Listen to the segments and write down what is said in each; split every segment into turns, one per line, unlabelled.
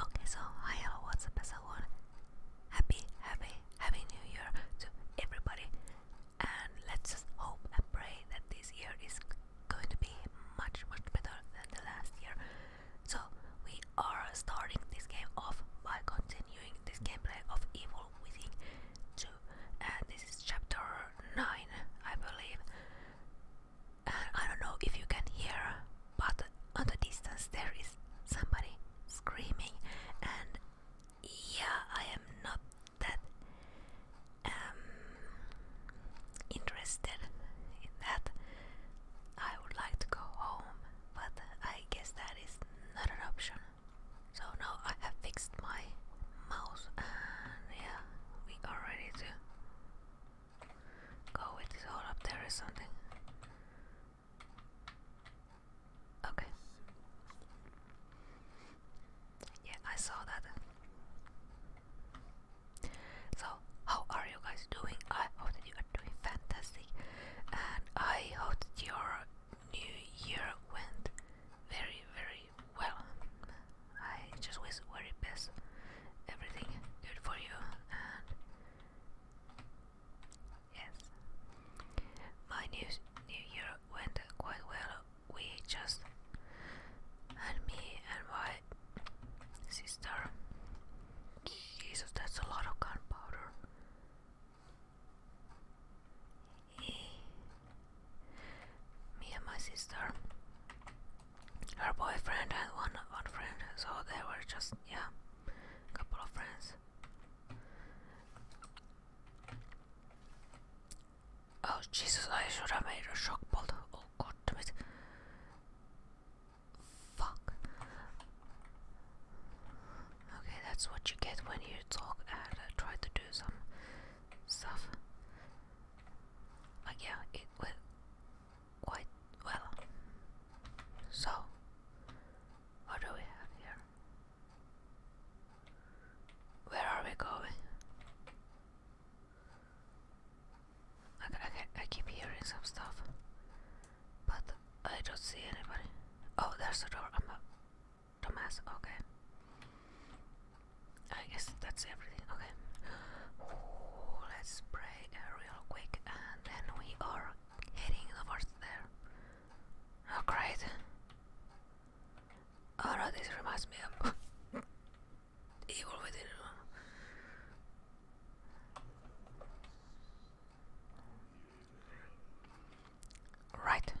Okay, so hi, hello, what's up, everyone? Happy, happy, happy New Year to everybody, and let's just hope and pray that this year is going to be much, much better than the last year. So we are starting this game off by continuing this gameplay of Evil Within 2, and this is chapter 9, I believe. I don't know if you can hear, but on the distance there is somebody screaming, and yeah, I am not that um, interested in that. I would like to go home, but I guess that is not an option. So now I have fixed my mouse, and yeah, we are ready to Go with this all up there or something. Okay. Yeah, I saw that. So, how are you guys doing? I hope you are doing fantastic, and I hope that your new year went very, very well. I just wish very best, everything good for you, Yes. My new New Year went quite well. We just and me and my sister. Jesus, that's a lot of gunpowder. Me and my sister, her boyfriend, had one one friend. So they were just yeah a couple of friends. Oh Jesus, I should have made a shock bolt. Oh god damn it. Fuck. Okay, that's what you get when you talk and uh, try to do some stuff. Like yeah, it will quite well. So, what do we have here? Where are we going? I, I, keep hearing some stuff, but I don't see anybody. Oh, there's a door. I'm Don't dumbass. Okay. I guess that's everything. Okay. let's spray real quick and then we are heading towards there. Oh great. Oh this reminds me of Evil Within. Right.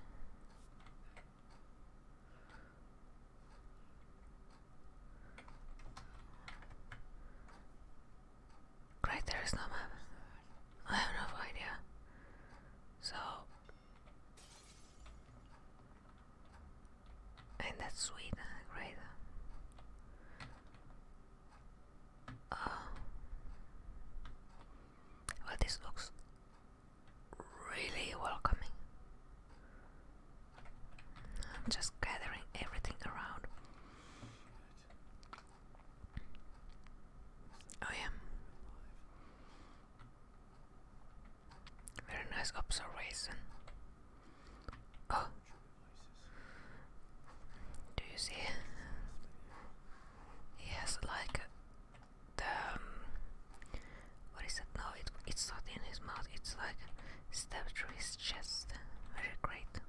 Great, there is no map. I have no idea. So. And that's sweet, great. Uh, well, this looks really welcoming. I'm just gathering everything around. Oh yeah. Very nice observation. Oh. Do you see? He has like the um, what is it? No, it, it's not in his mouth. It's like stabbed through his chest. Very great.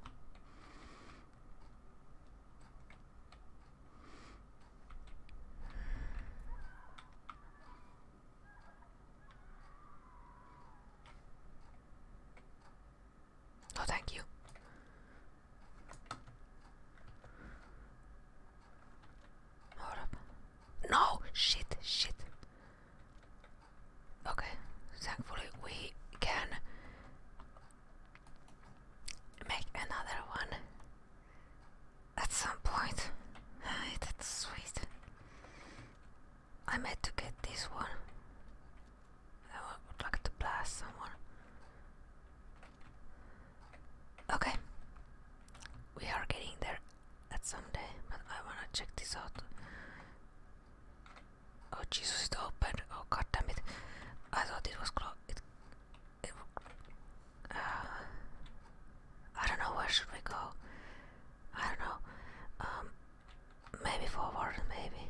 Oh, thank you. Hold up. No! Shit, shit. Okay, thankfully we can make another one at some point. That's sweet. I meant to get this one. I would like to blast someone. Okay, we are getting there at some day, but I wanna check this out. Oh Jesus, it's open! Oh god damn it. I thought it was closed. Uh, I don't know where should we go. I don't know. Um, maybe forward, maybe.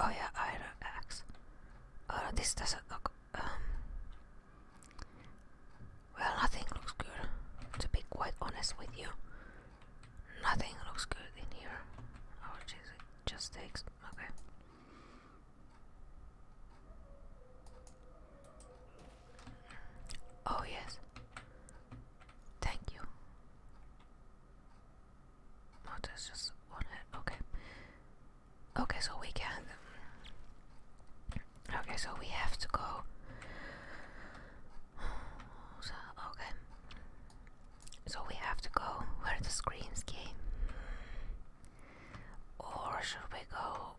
Oh yeah, iron axe. Oh no, this doesn't look. Um, well, nothing looks good. To be quite honest with you. Nothing looks good in here. Oh jeez, just takes. Okay. Oh yes. Thank you. Oh, just one head. Okay. Okay, so we can. Okay, so we have to go okay. So we have to go where the screams came. Or should we go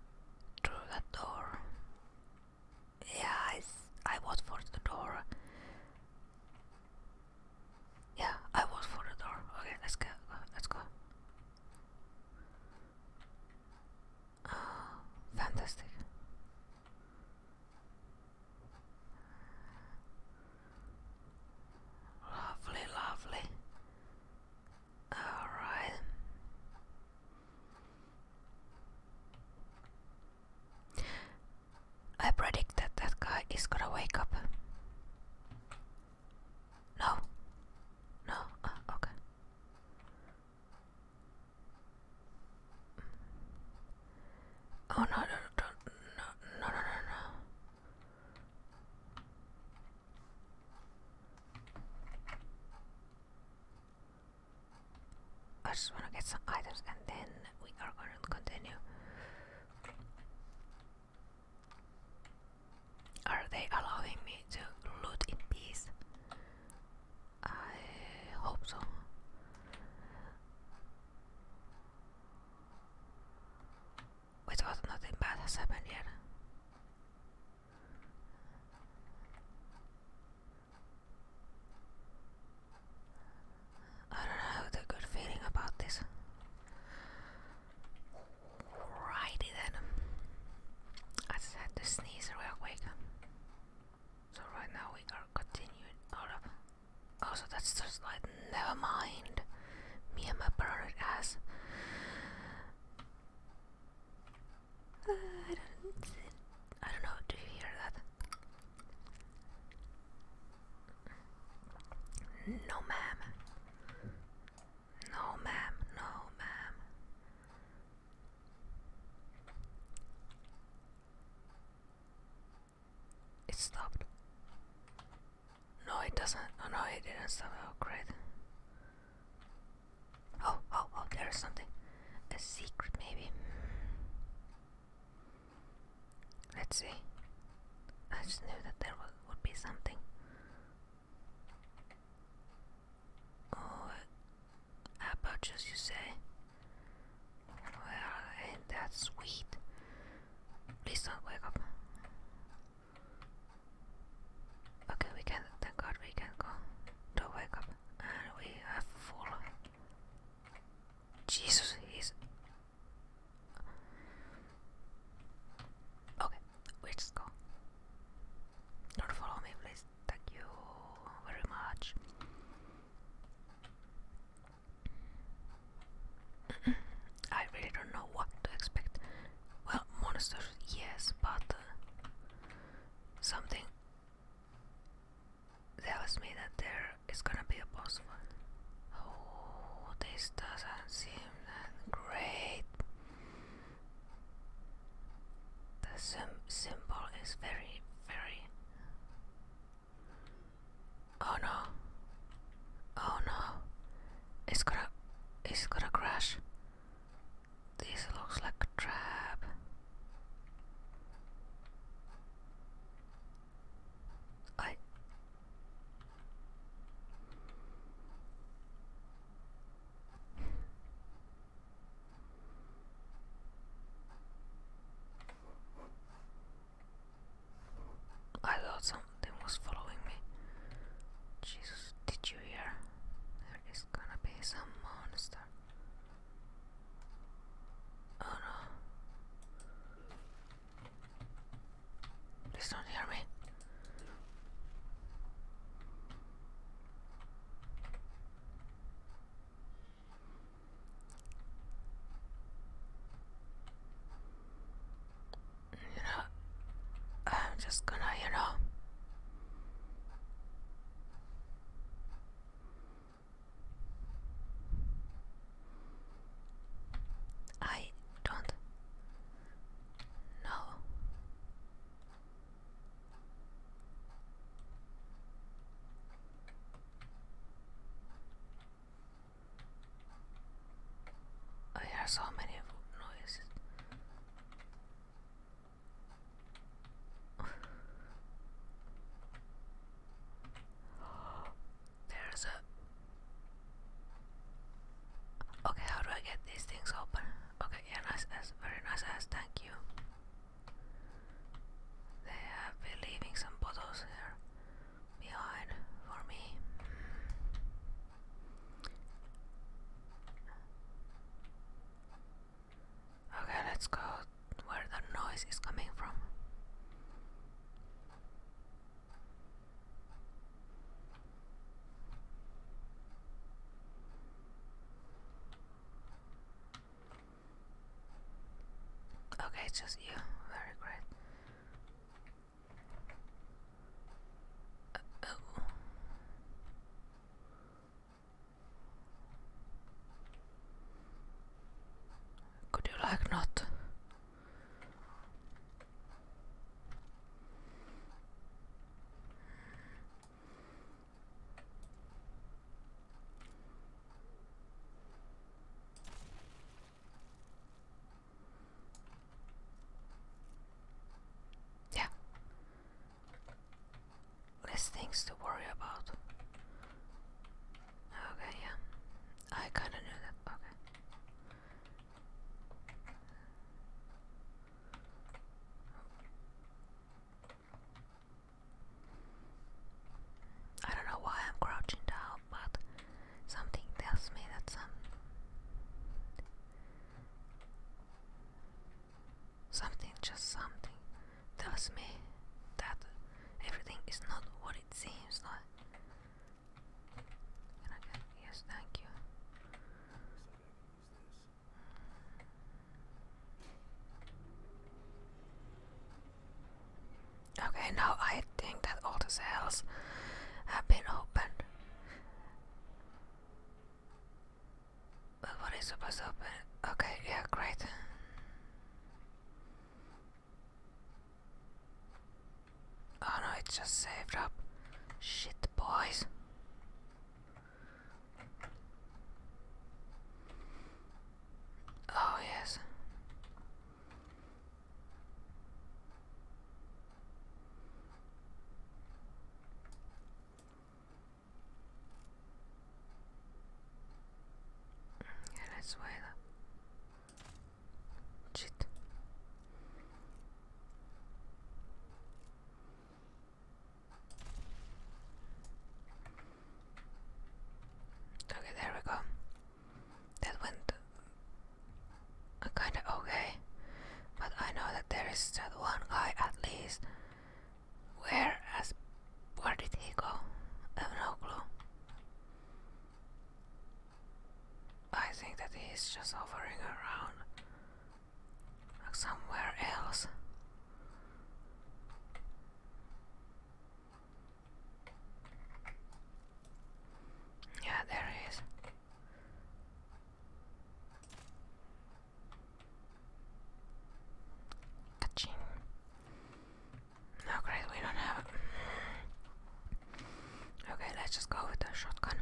through that door? Yeah, I was for the door. Yeah, I was for the door. Okay, let's go. Let's go. Oh, fantastic. Lovely, lovely. All right. I predict that that guy is gonna wake up. No. No. Uh, okay. Oh no, no, no, no, no, no, no, I just want to get some items and then we are going to continue. Are they allowing me to loot in peace? I hope so. Wait, what? Nothing bad has happened I don't have the good feeling about this. Righty then. I just had to sneeze real quick. So right now we are continuing out Oh so that's the slide. Never mind. Me and my parent ass. I don't I don't know, do you hear that? No ma'am. No ma'am, no ma'am. It stopped. No, it doesn't. Oh no, it didn't stop. Oh, great. Oh, oh, oh, there is something. A secret, maybe. Let's see. I just knew that there would be something. Oh, Apple juice, you say? Well, ain't that sweet? Please don't wake up. Okay, we can. Thank God we can go. Don't wake up. And we have full. Jesus, he's. Okay, we just go. Don't follow me, please. Thank you very much. I really don't know what to expect. Well, monsters, yes, but uh, something tells me that there is gonna be a boss fight. Oh, this doesn't seem that great. The sim symbol is very, very Oh no. Oh no. It's gonna it's gonna crash. This looks like a trap. I I thought something was following me. Jesus, did you hear? There is gonna be some monster. Oh no. Please don't hear me. You know, I'm just gonna, you know. I don't know. I hear so many noises. There's a. Okay, how do I get these things open? Okay, nice ass, very nice ass, thank you. They have been leaving some bottles here behind for me. Okay, let's go where the noise is coming from. Okay, just you. Very great. Uh, oh. Could you like not? Yeah. Less things to worry about. Okay, yeah. I kinda knew that. Okay. I don't know why I'm crouching down, but something tells me that some something just something tells me that everything is not what it seems like. yes, thank you. Okay, now I think that all the cells have been opened. But what is supposed to open? Okay, yeah, great. Oh no, it's just saved up. Shit, boys. Oh, yes. let's wait. Shit. Okay, there we go. That went uh, kinda okay. But I know that there is that one guy at least. Where as where did he go? I have no clue. I think that he's just hovering around like somewhere else. Yeah, there he is. great, we don't have Okay, let's just go with the shotgun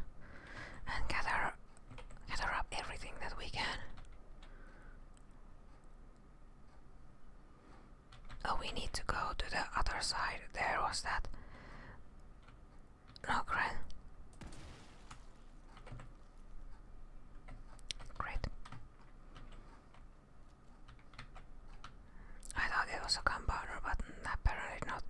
and gather, gather up everything that we can. Oh, we need to go to the other side. There was that. No, Gren. Great. I thought it was a gunpowder, but apparently not.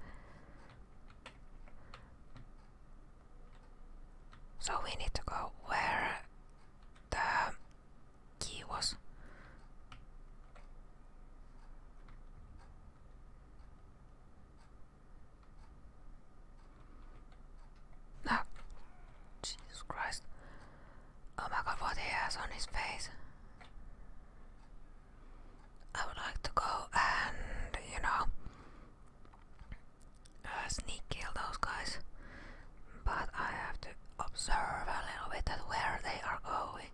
So we need to go where the kiitos no ah, Jesus Christ oh my god what he has on his face I would like to go and you know uh, sneak kill those guys but I have to observe a little bit at where they are going.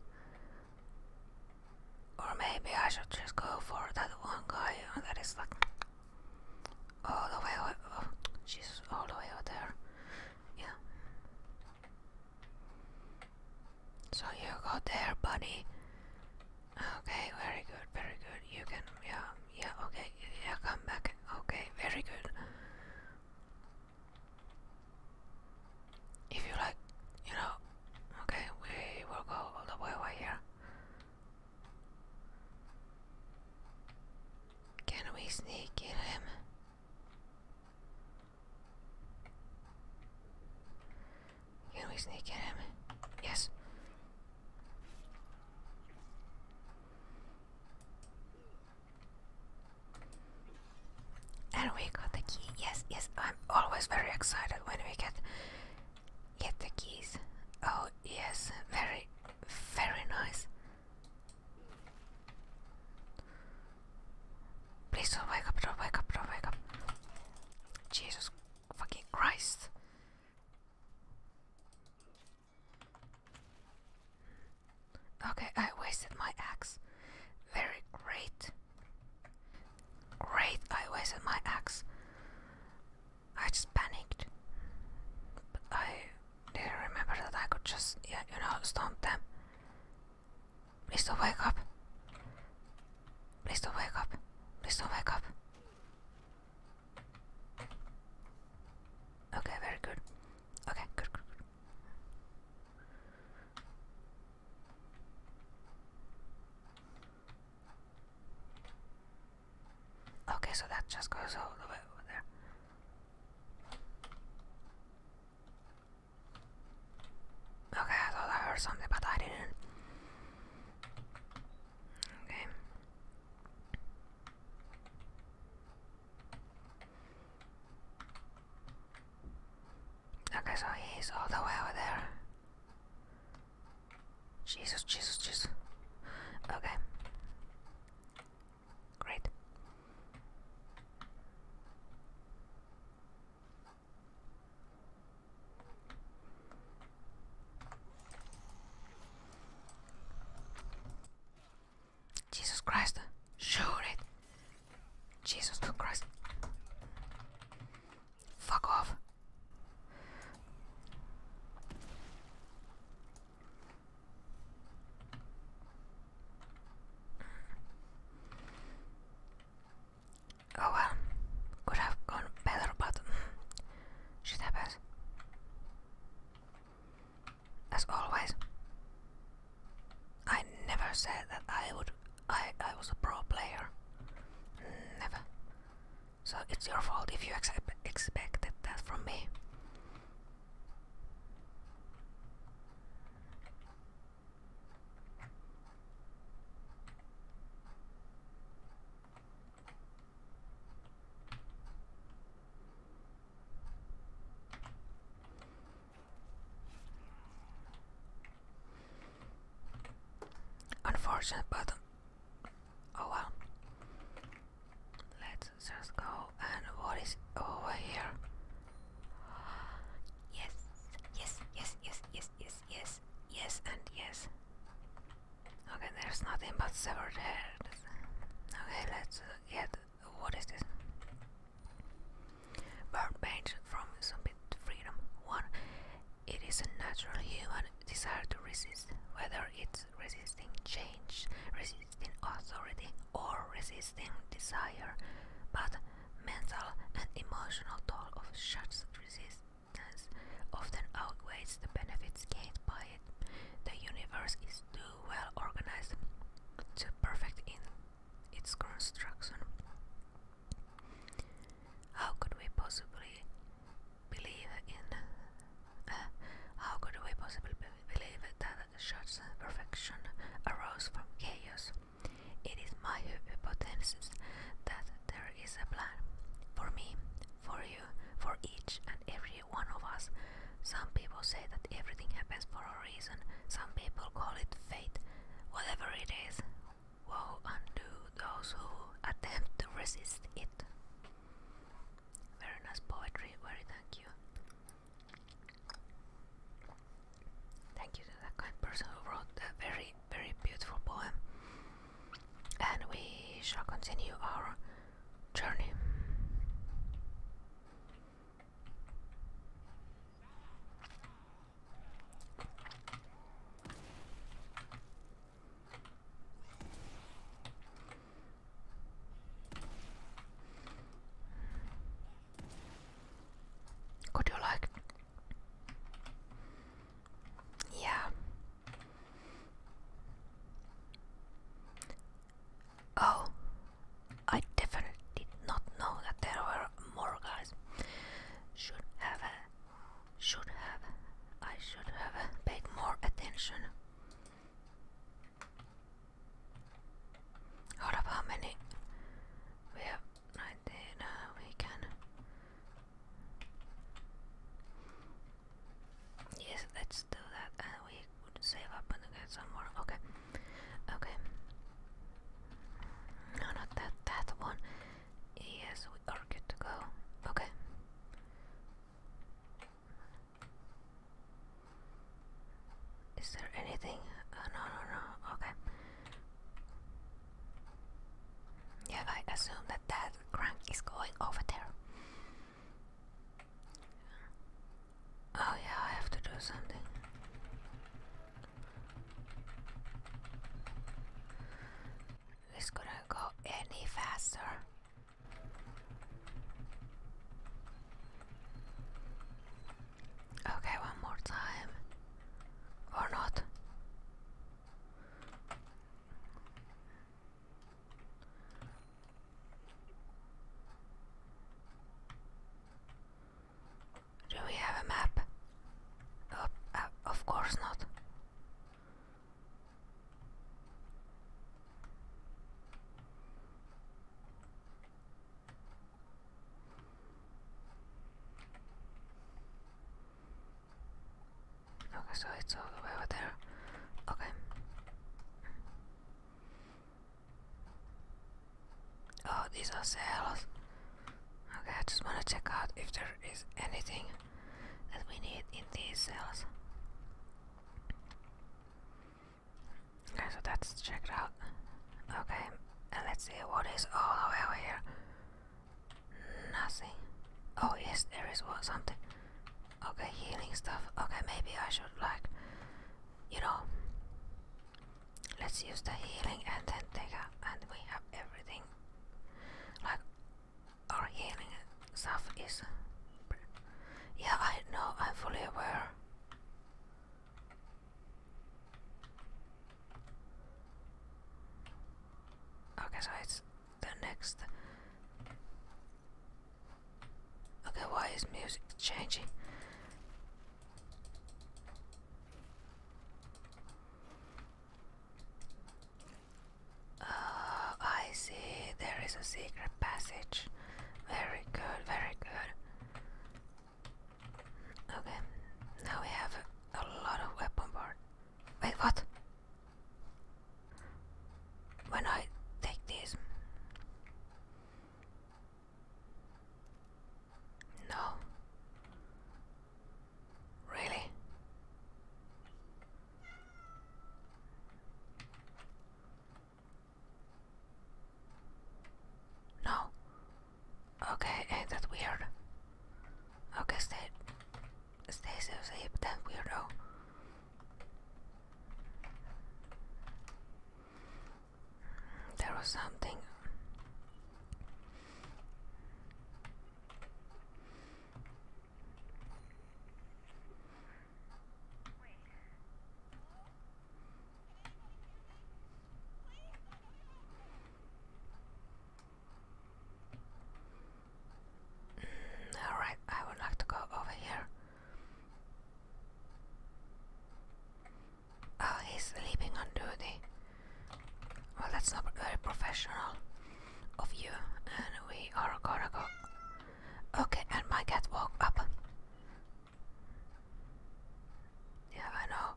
Or maybe I should just go for that one guy uh, that is like all the way. Over, oh, Jesus, all the way over there. Yeah. So you go there, buddy. Okay, very good, very good. You can, yeah, yeah, okay, yeah, come back. Okay, very good. If you like, you know, okay, we will go all the way over here. Can we sneak in him? Can we sneak in him? Yes. And we got the key. Yes, yes. I'm always very excited when we get get the keys. Oh yes, very, very nice. Please don't wake up! Don't wake up! Don't wake up! Jesus fucking Christ! Okay, I wasted my axe. Very great. Great, I wasted my axe. I just panicked. But I didn't remember that I could just, yeah, you know, stomp them. Please don't wake up. Please don't wake up. Please don't wake up. Okay, very good. Okay, good, good. Okay, so that just goes all the way over there. Okay, I thought I heard something, but I didn't. Okay. Okay, so he's all the way over there. Jesus, Jesus, Jesus. Okay. Great. Jesus Christ. Shoot it. Jesus Christ. Fuck off. Oh well, could have gone better, but shit happens as always. I never said that I would I I was a pro player. Never. So it's your fault if you accept, expected that from me. Unfortunate, but oh well. Let's just go. And what is over here? Yes, yes, yes, yes, yes, yes, yes, yes, and yes. Okay, there's nothing but severed heads. Okay, let's get what is this? Bird page from Zombie Freedom 1. It is a natural human desire to resist, whether it's resisting change, resisting authority, or resisting desire. But mental and emotional toll of such resistance often outweighs the benefits gained by it. The universe is too well organized, too perfect in its construction. How could we possibly believe in? Uh, how could we possibly believe that such perfection arose from chaos? It is my hypothesis that there is a plan for me, for you, for each and every one of us some people say that everything happens for a reason, some people call it fate. Whatever it is, woe unto those who attempt to resist it. Very nice poetry, very thank you. Thank you to that kind person who wrote a very, very beautiful poem. And we shall continue our journey. Could you like? Yeah. Oh, I definitely did not know that there were more guys. Should have, should have, I should have paid more attention. Out of how many? We have 19, uh, we can. Yes, let's do that. And uh, we save up and get some more. Okay, okay. No, not that. That one. Yes, we are good to go. Okay. Is there anything? Uh, no, no, no. Okay. Yeah, I assume that that crank is going over there. Oh, yeah, I have to do something. This couldn't go any faster. Okay, one more time. Or not. Do we have a map? Uh, of course not. Okay, so it's all the way over there. Okay. Oh, these are cells. Okay, I just wanna check out if there is anything that we need in these cells. Okay, so that's checked out. Okay, and let's see what is all over here. Nothing. Oh yes, there is one, something. Okay, healing stuff. Okay, maybe I should like, you know, Let's use the healing and then take up and we have everything. Like our healing stuff is Yeah, I know, I'm fully aware. Okay, so it's the next Okay, why is music changing? Uh, I see there is a secret passage. Very good, very good. Okay, now we have a, lot of weapon parts. Wait, what? When I take these. No. Really? No. Okay, ain't eh, that weird? Okay, stay, stay safe, that weirdo. There was something. Mm, all right, I would like to go over here. Oh, he's sleeping on duty. Well, that's not very professional of you. And we are gonna go. Okay, and my cat woke up. Yeah, I know.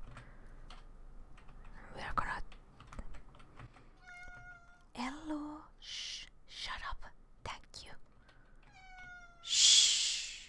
We are gonna. Hello. Shh. Shut up. Thank you. Shh.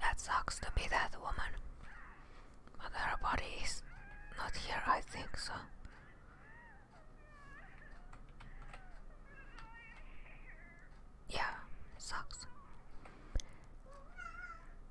That sucks to be that woman. But her body is not here, I think so. Yeah, sucks.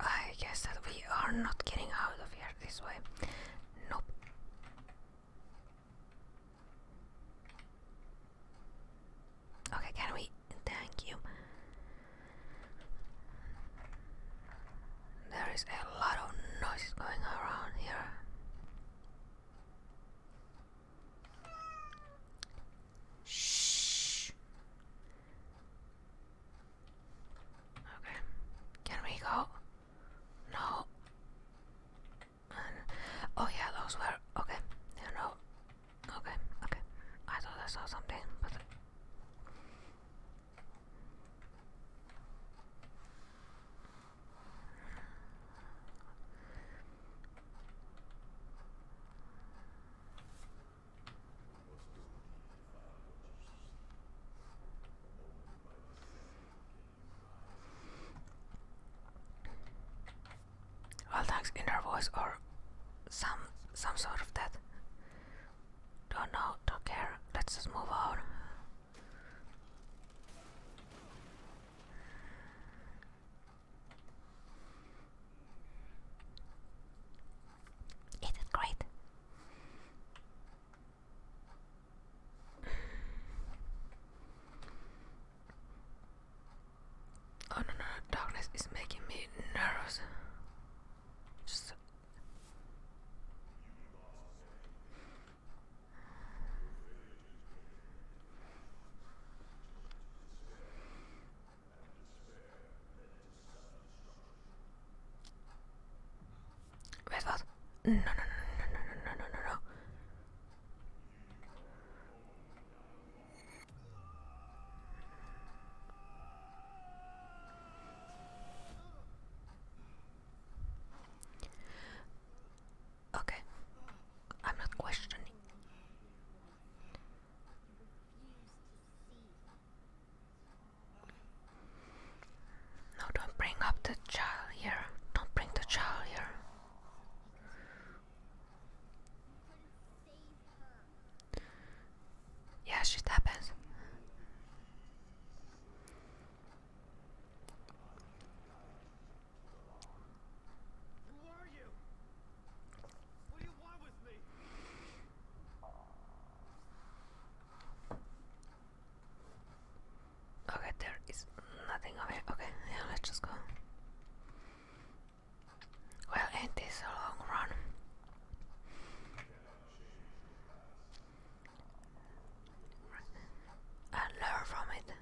I guess that we are not getting out of here this way. Nope. Okay, can we? Thank you. There is a lot of noise going around here. Shh. Okay. Can we go? No. oh yeah, those were okay. no. Okay, okay. I thought I saw something, but. All thanks inner voice or some some sort of that. Don't know, don't care. Let's just move on. It is great? Oh no no, darkness is making me nervous. Just Wait, what? no, no, no, no, no, no, no, no. Okay, I'm not questioning. No, don't bring up the child here. Don't bring the child here. Yeah, shit happens. Who Okay, there is nothing here. Okay, yeah, let's just go. Well, it is a long run? And learn from it.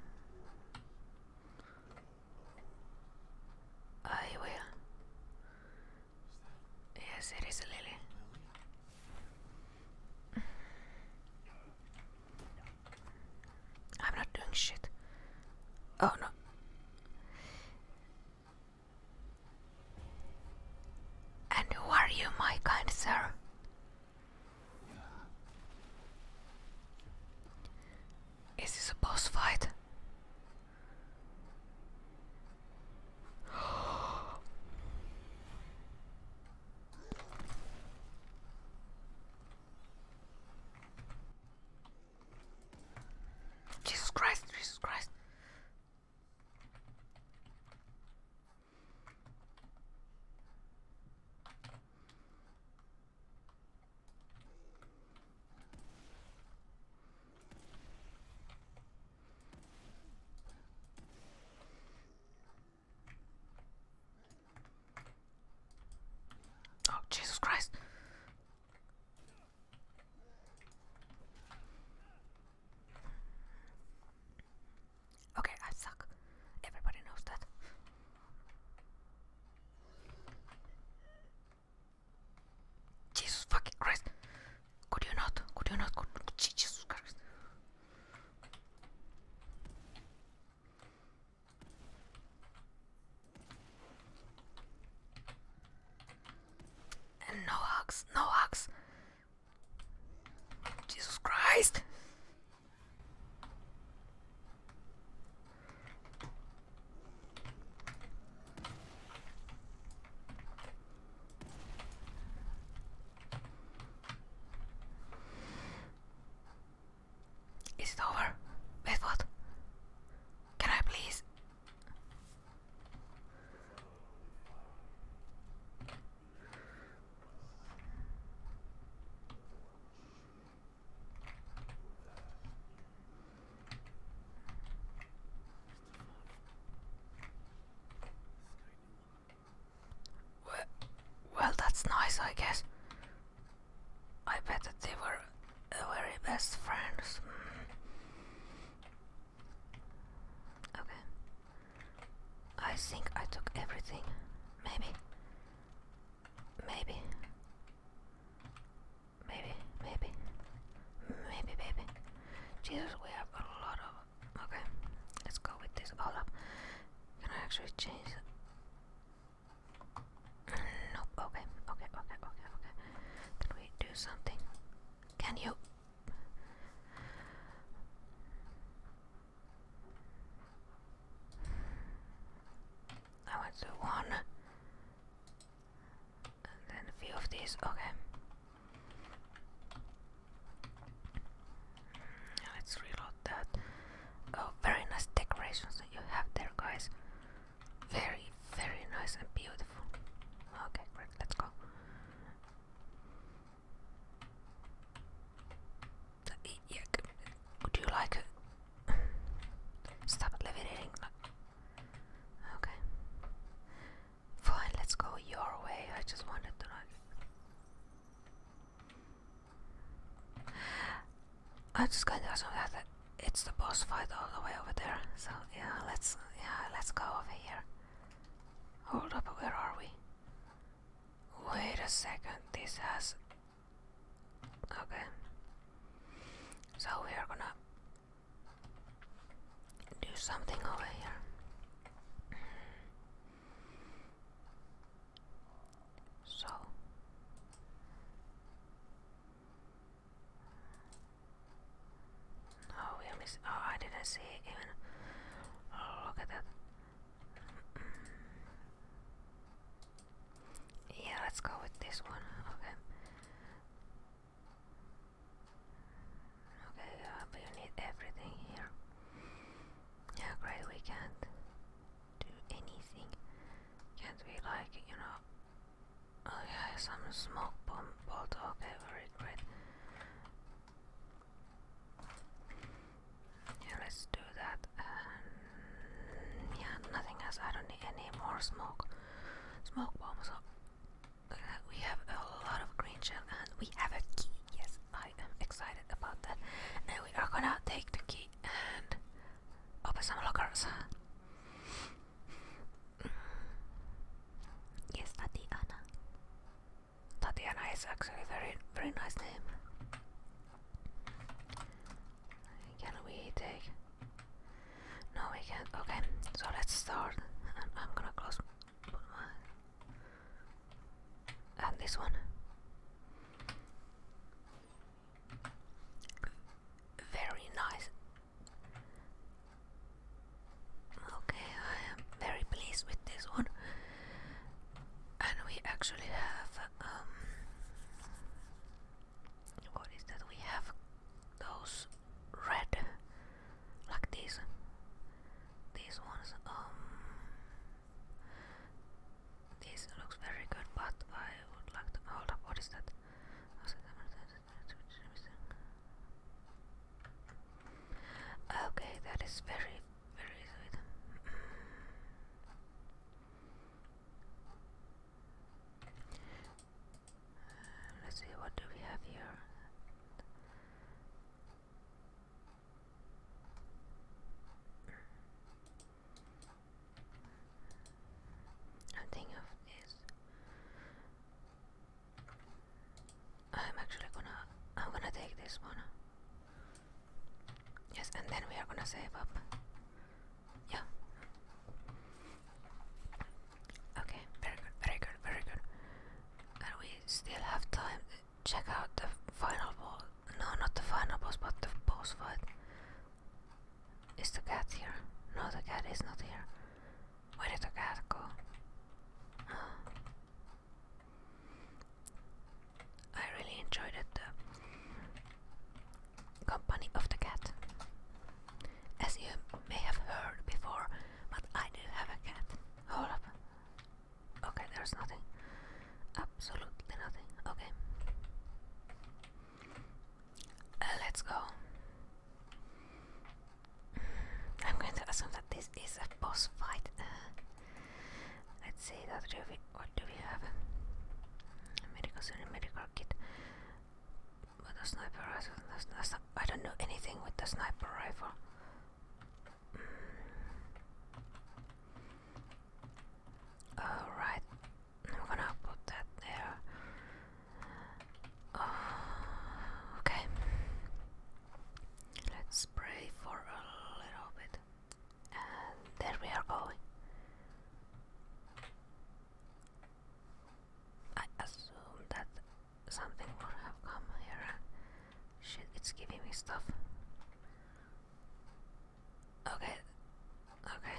I will. Yes, it is a lily. I'm not doing shit. Oh no. And who are you, my kind sir? Is this a boss fight? Jesus Christ, Jesus Christ. Oh, Jesus Christ. Okay, I suck. Everybody knows that. Jesus fucking Christ. Could you not? Could you not? Jesus Christ. no hugs, no hugs. Jesus Christ. Is it over? Wait, what? Can I please? Well, well, that's nice, I guess. I bet that they were very best friends. Mm. Okay. I think I took everything. Maybe. Maybe. Maybe, maybe. Maybe, maybe. Jesus, we have a lot of. Okay, let's go with this. Hold up. Can I actually change? Mm, nope. Okay, okay, okay, okay, okay. Can we do something? Can you? I went to one and then a few of these. Okay. Mm, let's reload that. Oh, very nice decorations that you have there, guys. Very, very nice and beautiful. Okay, great. Let's go. Yeah, could you like stop levitating? Okay. Fine, let's go your way. I just wanted to know. I am just kinda assume that it's the boss fight all the way over there. So yeah, let's yeah, let's go over here. Hold up, where are we? Wait a second, this has Okay. So we are gonna do something over here. So Oh, we are Oh, I didn't see even. Oh, look at that. yeah, let's go with this one. Okay. Okay, but uh, you need everything here. Yeah, great, we can't do anything. Can't we, like, you know. Oh, yeah, some smoke bomb bolt. Okay, very great. Yeah, let's do that. yeah, nothing else. I don't need any more smoke. Smoke bombs. So we have a lot of green shell and we have a key. Yes, I am excited about that. And we are gonna take the key and open some lockers. Mm. yes, Tatiana. Tatiana is actually very, very nice name. Can we take? No, we can't. Okay, so let's start. And I'm gonna close and this one very nice okay I am very pleased with this one and we actually have um what is that we have those red like this. This ones um this looks very good but I would like to hold up what is that okay that is very very sweet let's see what do we have here I'm thinking of this I'm actually gonna I'm gonna take this one yes and then we are gonna save up yeah Okay, very good, very good, very good. And we still have time to check out the final boss. No, not the final boss, but the boss fight. Is the cat here? No, the cat is not here. Where did the cat go? I really enjoyed The company of the cat. As you may have heard before, but I do have a cat. Hold up. Okay, there's nothing. Absolutely nothing. Okay. Uh, let's go. I'm going to assume that this is a boss fight. Uh, let's see. That what do we have? A medical surgery, medical kit. But the sniper rifle. I don't know anything with the sniper rifle. Alright, I'm gonna put that there. Uh, okay, let's pray for a little bit, and there we are going. I assume that something would have come here. it's giving me stuff. Okay, okay.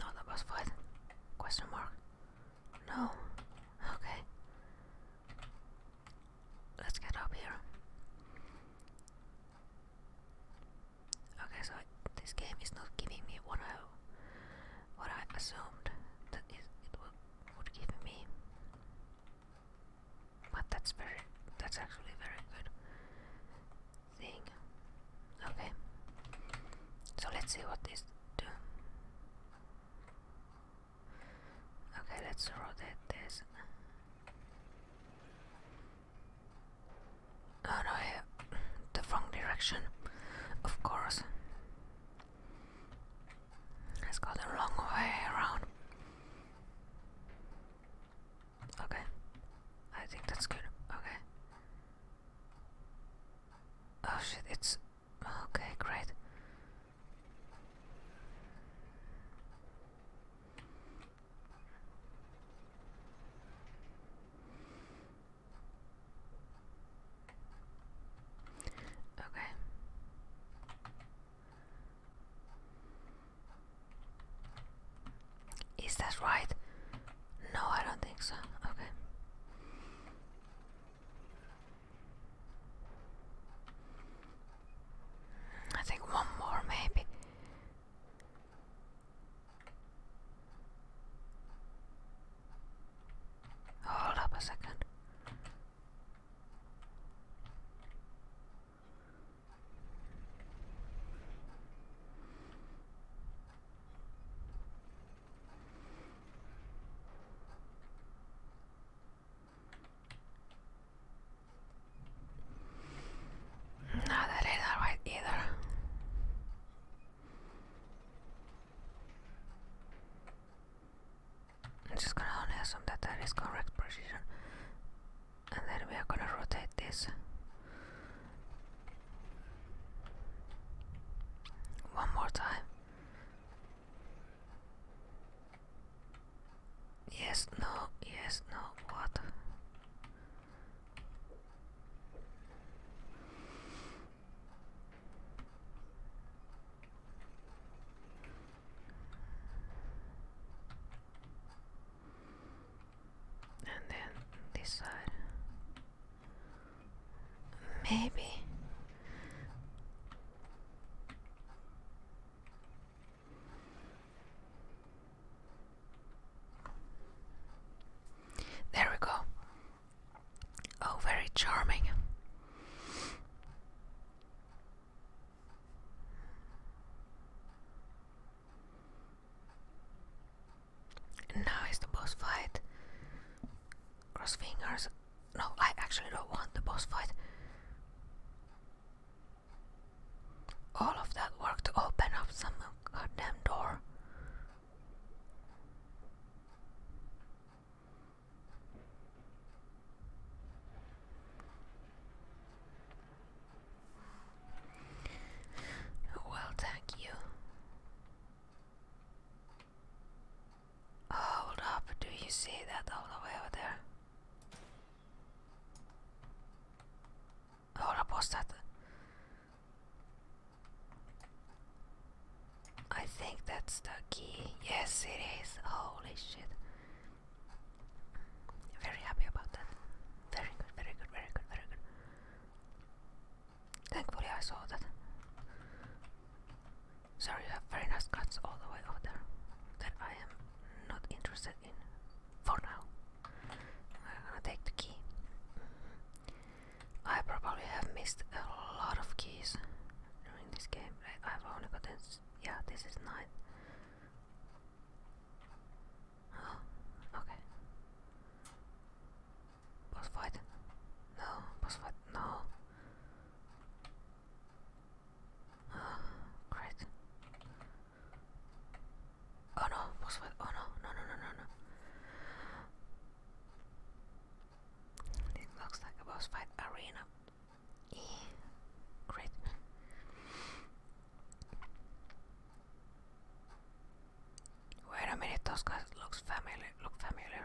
Not a boss Question mark. No. Okay. Let's get up here. Okay, so this game is not giving me what I what I assumed that is it, would, give me. But that's very, that's actually very good thing. Okay, so let's see what this do. Okay, let's rotate this. Oh no, I, the wrong direction, of course. Let's go the way around. Okay, I think that's good. Okay. Oh shit, it's. Okay, great. Okay. Is that right? No, I don't think so. Okay. I think one more, maybe. Hold up a second. No, that ain't alright either. I'm just gonna only assume that that is correct precision. And then we are gonna rotate this one more time. Yes, no, yes, no, what? And then this side. Maybe. There we go. Oh, very charming. now is the boss fight. Cross fingers. No, I actually don't want the boss fight. All of that work to open up some goddamn door. Well, thank you. Oh, hold up, do you see that all the way over there? Hold up, what's that? I think that's the key. Yes, it is. Holy shit. Very happy about that. Very good, very good, very good, very good. Thankfully, I saw that. Sorry, you have very nice cuts all the way over there that I am not interested in for now. I'm gonna take the key. I probably have missed a lot of keys during this game. I, have only got this. Yeah, this is 9. okay. Boss fight? No, boss fight, no. great. Oh no, boss fight, oh no, no, no, no, no. It looks like a boss fight arena. Eee. Great.
Wait a minute, those guys looks familiar look familiar.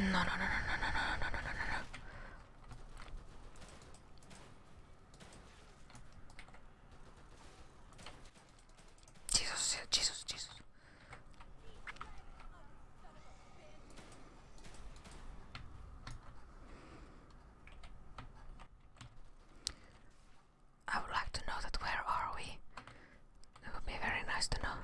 No, no, no, no, no, no, no, no, no, no, no Jesus, Jesus. I would like to know that where are we? It would be very nice to know.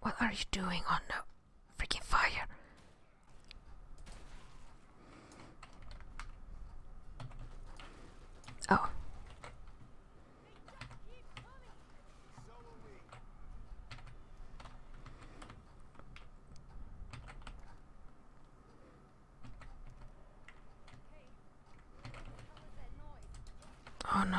What are you doing on the freaking fire? Oh. Oh no.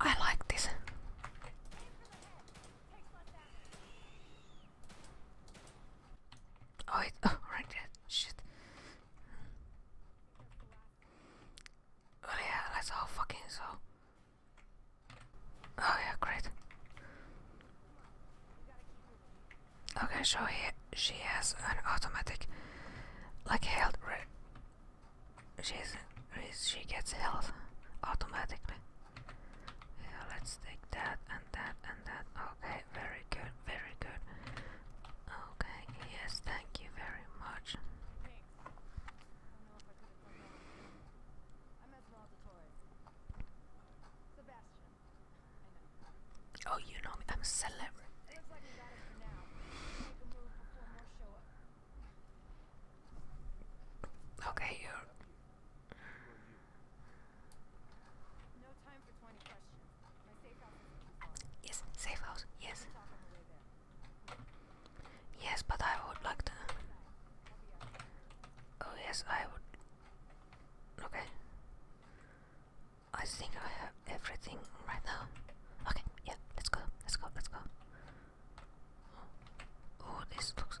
I like this. Oh, wait! oh, right there. Shit. Oh yeah, that's all fucking so. Oh yeah, great. Okay, so he, she has an automatic, like health. She's she gets health automatically. Yeah, let's take that and that and that. Okay very good, very good. Okay, yes, thank
you very much. Oh, you know me, I'm a celebrity. Okay, you Yes, safe house, yes.
Yes, but I would like to. Oh, yes, I would. Okay. I think I have everything right now. Okay, yeah, let's go, let's go, let's go. Oh, this looks.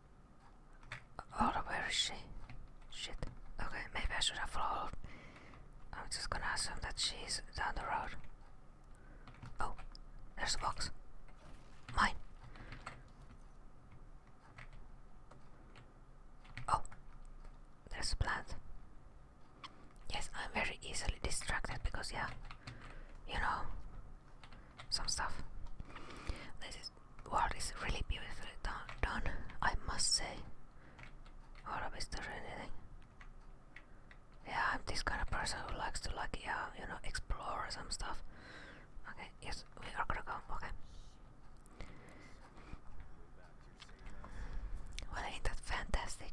Oh, where is she? Shit. Okay, maybe I should have followed. I'm just gonna assume that she's down the road. Oh, there's a box. Mine. Oh, there's a plant. Yes, I'm very easily distracted because, yeah, you know, some stuff. This is really beautifully done, I must say. Or is there Yeah, I'm this kind of person who likes to like, yeah, you know, explore some stuff. Okay, yes,
we are gonna go, okay.
Well, ain't that fantastic?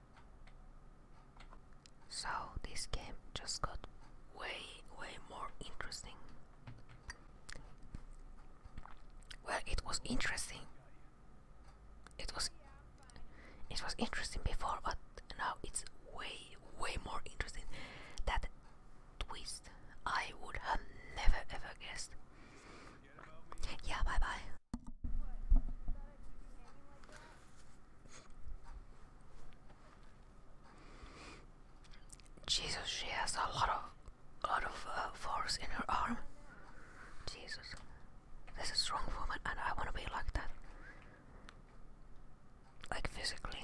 So this game just got way, way more interesting. Well, it was interesting. It was, it was interesting before, but now it's way, way more interesting. That twist, I would have never ever guessed. Yeah, bye bye. Jesus, she has a lot of, lot of uh, force in her arm. Jesus, this is a strong woman, and I want to be like that, like physically.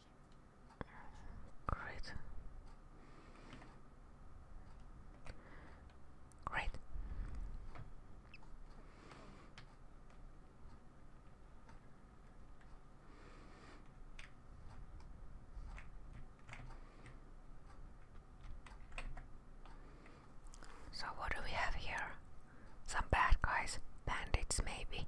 Great. Great. So, what do we have here? Some bad guys, bandits maybe.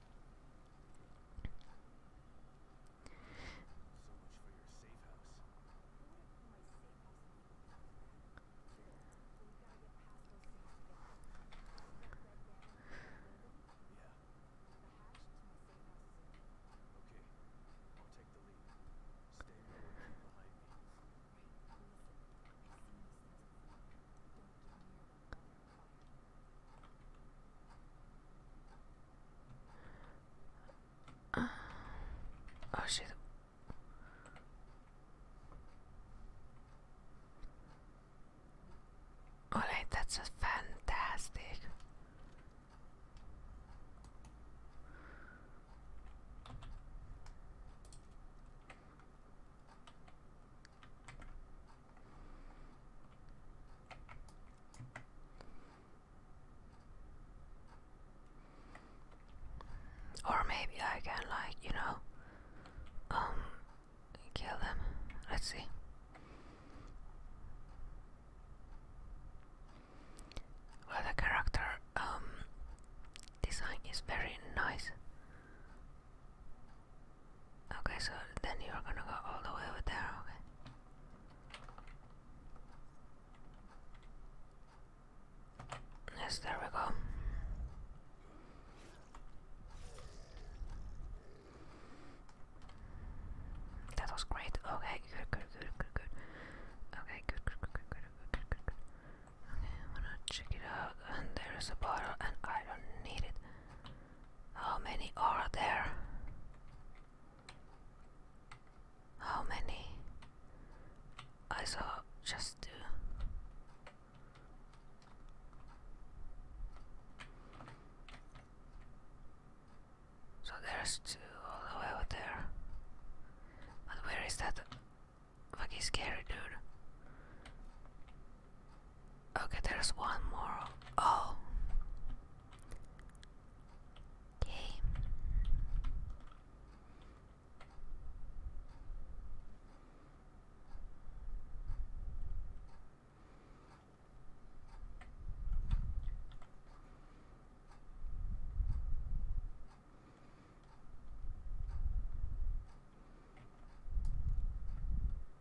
So much for your safe house. Yeah. Okay, I'll take the lead. Stay behind me. Ah, oh shit. Olaj, that's just fantastic. Or maybe I can like, you know, um kill them. Let's see. Well the character um design is very nice. Okay, so then you're gonna go all the way over there, okay? Yes, there we go. That was great. Okay, good, good, good, good, good. Okay, good, good, good, good, good, good, good, good. Okay, I'm gonna check it out. And there is a bottle, and I don't need it. How many are there? How many? I saw just two. So there's two all the way over there. But where is that fucking scary dude? Okay, there's one more. Oh. Okay.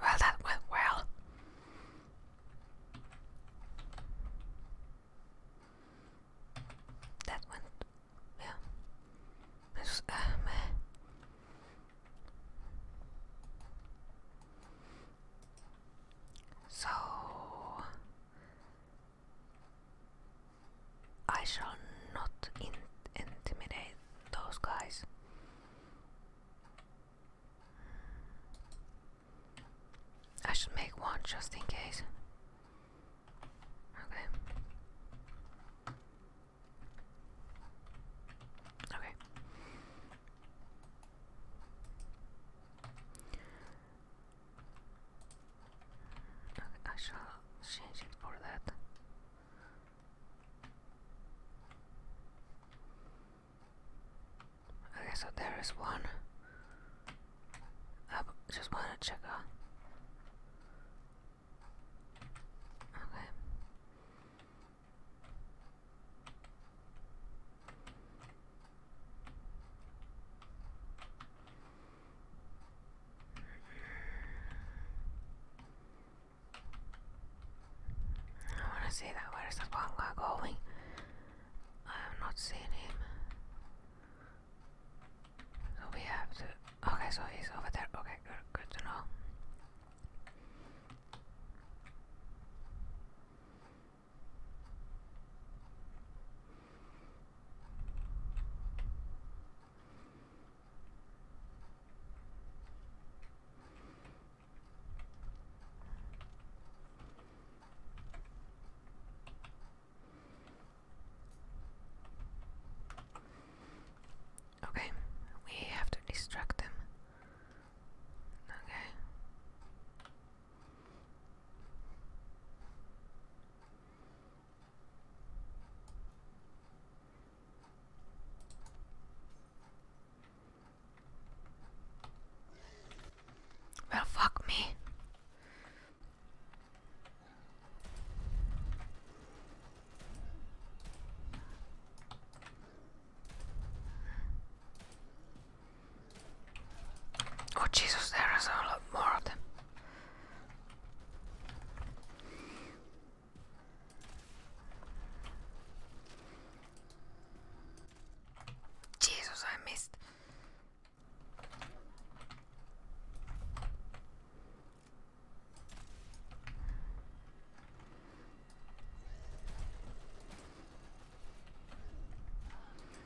Well, that went well. That went, yeah. It's, uh, so I shall not intimidate those guys. I should make one just in case. Okay. Okay. Okay, I shall change it for that. Okay, so there is one. I just want to check out. Okay. I want to say that. Where is the one going? I have not seen him. So we have to. Okay, so he's over there. Okay, good, good to know. Okay, we have to distract them. Okay. Well, fuck me. Oh Jesus, there is a lot more of them. Jesus, I missed.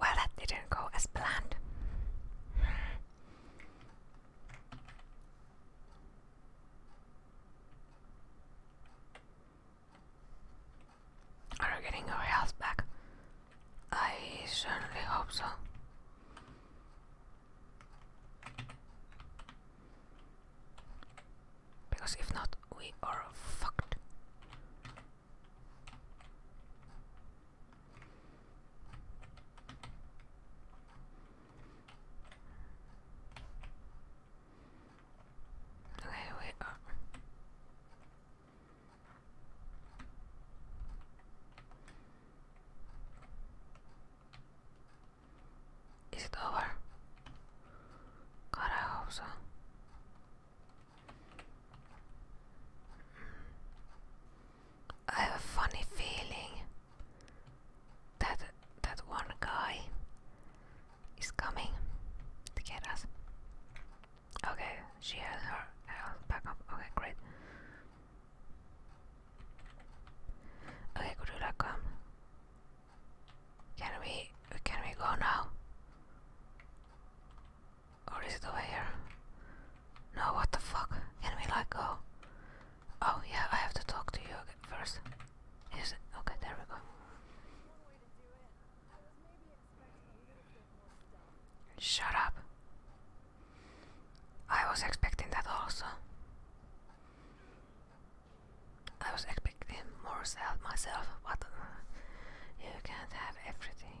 Well, that didn't go as planned. Are getting your health back? I certainly hope so. Because if not, we are fucked. Okay, wait. Uh. Is it over? God, I have a funny feeling that that one guy is coming to get us. Okay, she has her health back up. Okay, great. Okay, could you come? Can we can we go now? Or oh, is it over here? No, what the fuck? Can we let go? Oh yeah, I have to talk to you first. Is it? Okay, there we go. Shut up. I was expecting that also. I was expecting more self myself, but uh, you can't have everything.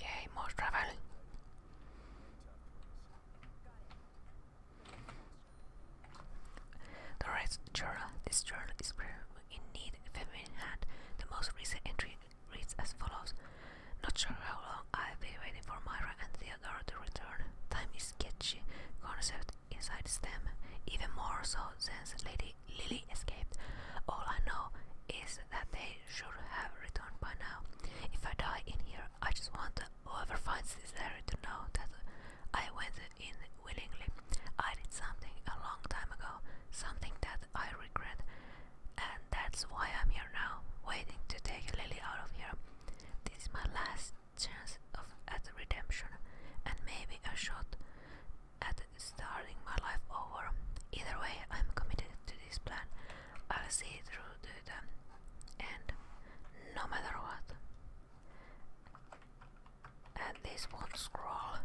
Yay, more travel.
The Red Journal. This journal is in need of a feminine hand. The most recent entry reads as follows. Not sure how long I'll be waiting for my Sarah and Theodore to return. Time is sketchy concept inside STEM, even more so since Lady Lily escaped. All I know is that they should have returned by now. If I die in here, I just want whoever finds this area to know that I went in willingly. I did something a long time ago, something that I regret, and that's why I'm here now, waiting to take Lily out of here. This is my last chance of at redemption and maybe a shot at starting my life over. Either way, I'm committed to this plan. I'll see through to the end, no matter what. And this will scroll.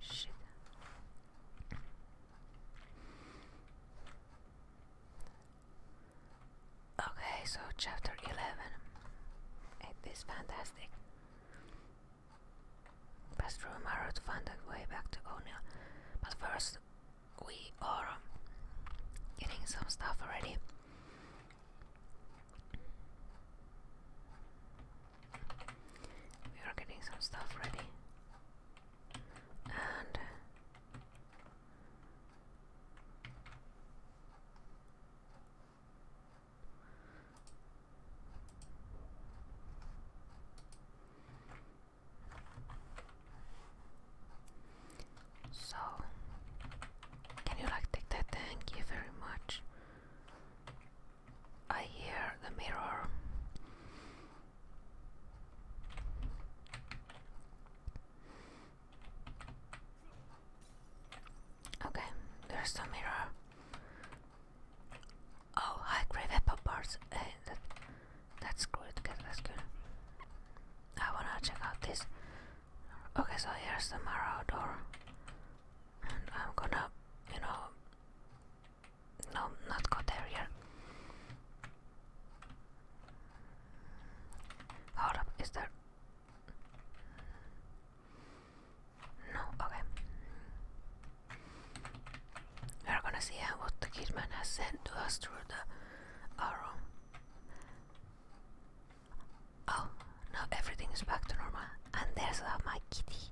Shit. Okay, so chapter 11. It is fantastic. Pass through Mara to find way back to O'Neill. But first, we are getting some stuff already. We are getting some stuff ready. And so, can you like take that? Thank you very much. I hear the mirror. Okay, there's the mirror. Oh, high grade apple Hey, that, that's good. That's good. I wanna check out this. Okay, so here's the mirror door, and I'm gonna, you know, no, not go there yet. Hold up, is there. No, okay. We're gonna see what the kidman has sent to us through the arrow. Oh, now everything is back to normal. And there's my kitty.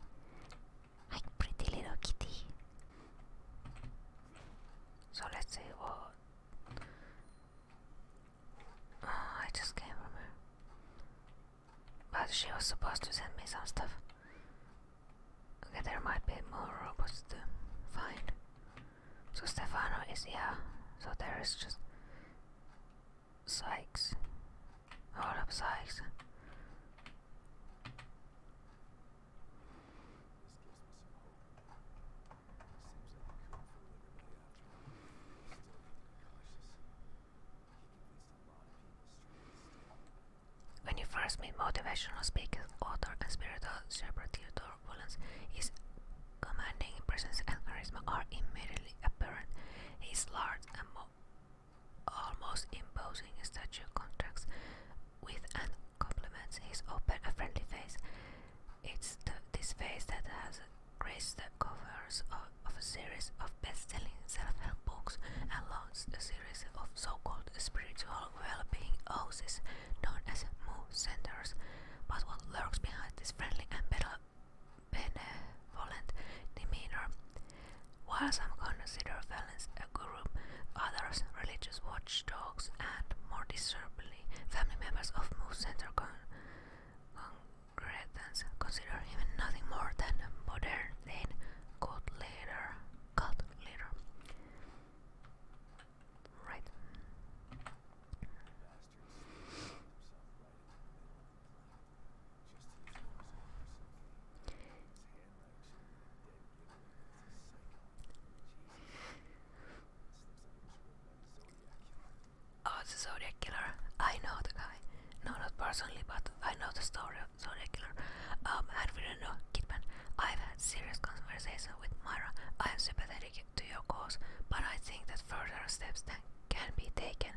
My pretty little kitty. So let's see what Oh, I just came from her. But she was supposed to send me some stuff. Okay, there might be more robots to find. So Stefano is yeah. So there is just Sykes.
Hold of Sykes.
When you first meet motivational speaker, author, and spiritual shepherd Theodore Wollens, his commanding presence and charisma are immediately apparent. His large and almost imposing statue contrasts with and complements his open and friendly face. It's this face that has graced the covers of, a series of best-selling self-help books and launched a series of so-called spiritual well-being houses, known as Moo centers. But what lurks behind this friendly and benevolent demeanor? While some consider violence a group, others religious watchdogs and, more disturbingly, family members of Moo Center con congregants consider him nothing more than a modern-day cult leader. Cult leader. Right. Oh, it's Zodiac Killer. I know the guy. No, not personally, but I know the story of Zodiac Killer. Um, and we don't know Kidman. I've had serious conversation with Myra. I am sympathetic to your cause, but I think that further steps can be taken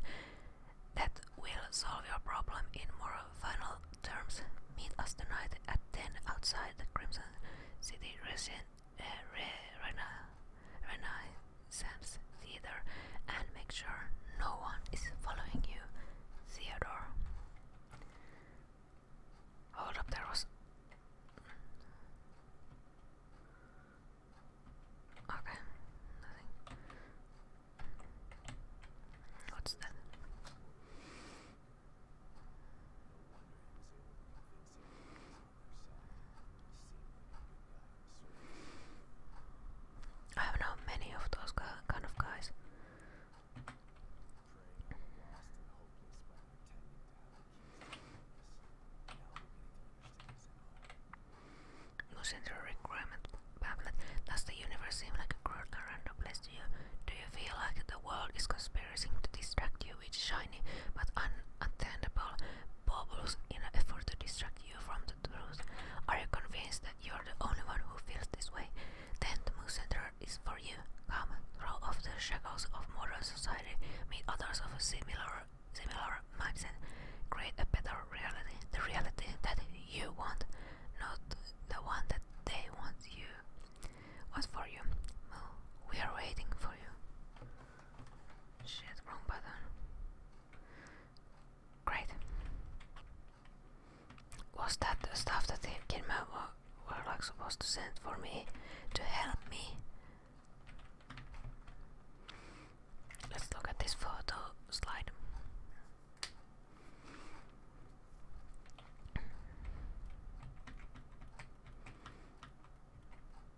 that will solve your problem in more final terms. Meet us tonight at 10 outside the Crimson City Resident Eh, Renaissance Theater and make sure no one is following you, Theodore. Hold up, there was. Okay, nothing. What's that?
I have known many of those kind of guys. Losing
the requirement pamphlet. Does the universe seem like a cruel and random place to you? Do you feel like the world is conspiring to distract you with shiny but unattainable bubbles in an effort to distract you from the truth. Are you convinced that you're the only one who feels this way? Then the Moon Center is for you. Come, throw off the shackles of modern society, meet others of a similar, similar mindset, create a better reality, the reality that you want, not the one that they want you. What's for you? we are waiting for you. Shit, wrong button. Great. Was that the stuff that the Kidman were, were like supposed to send for me to help me? Let's look at this photo slide.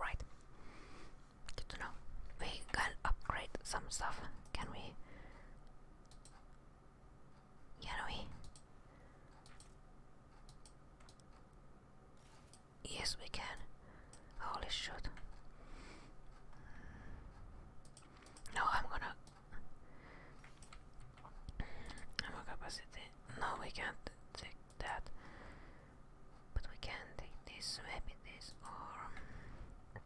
Right. Good to know. We can upgrade some stuff, can we? Can we? Yes, we can. Holy shit. No, I'm gonna ammo capacity. No, we can't take that. But we can take this, maybe this, or. Um,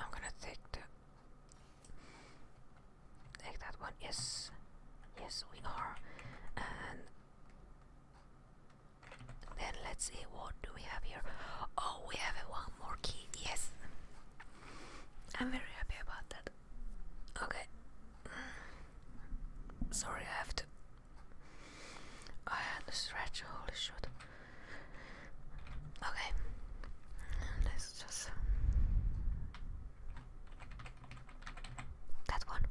I'm gonna take the. Take that one, yes. Yes, we are. And. Then let's see what do we have here. Oh, we have one more key. Yes, I'm very happy about that. Okay. Mm. Sorry, I have to. I had to stretch. Holy shit. Okay. Let's just. That one.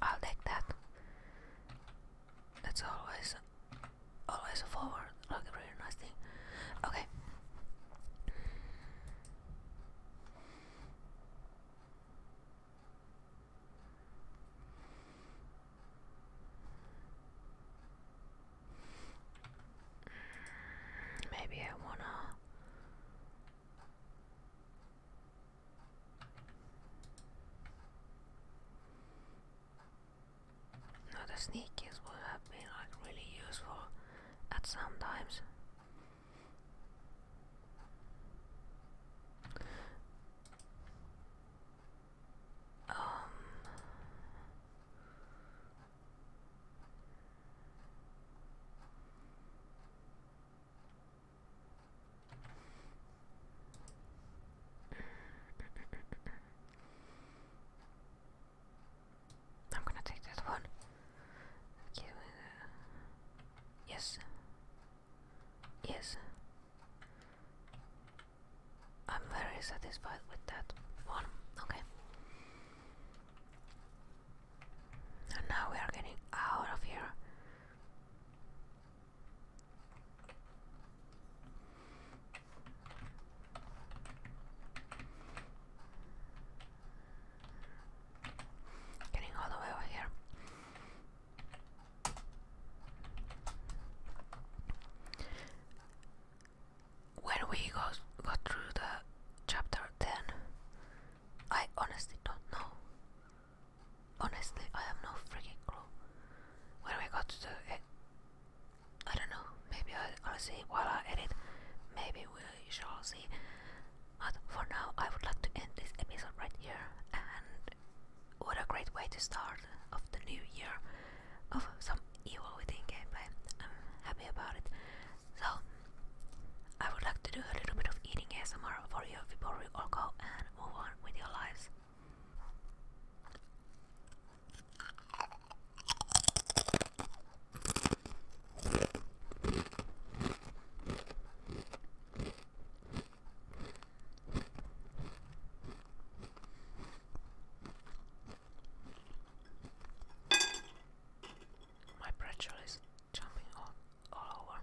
I'll that. That's always always forward. Like a really nice thing. Okay. Maybe I wanna now the sneakers would have been like really useful at some times. Um, I'm gonna take that one. yes. Yes. I'm very satisfied with that one. Okay. And now we are getting out of here. Getting all the way over here. When we go go through the chapter, ten, I honestly don't know Honestly, I have no freaking clue. When we got to do? I don't know. Maybe I, I'll see while I edit. Maybe we shall see. But for now, I would like to end this episode right here. And what a great way to start of the new year of some evil within gameplay. I'm happy about it. So I would like to do a little bit of eating ASMR for you before we all go and move on with your lives. My pressure is jumping all, all over.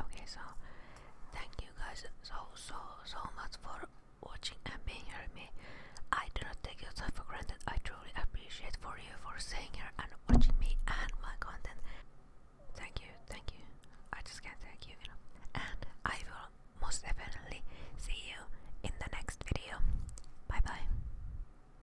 Okay, so thank you guys so so so much for watching and being here with me. I do not take yourself for granted. I truly appreciate for you for staying here and watching me and my content. Thank you, thank you. I just can't thank you, enough. And I will most definitely see you in the next video. Bye bye.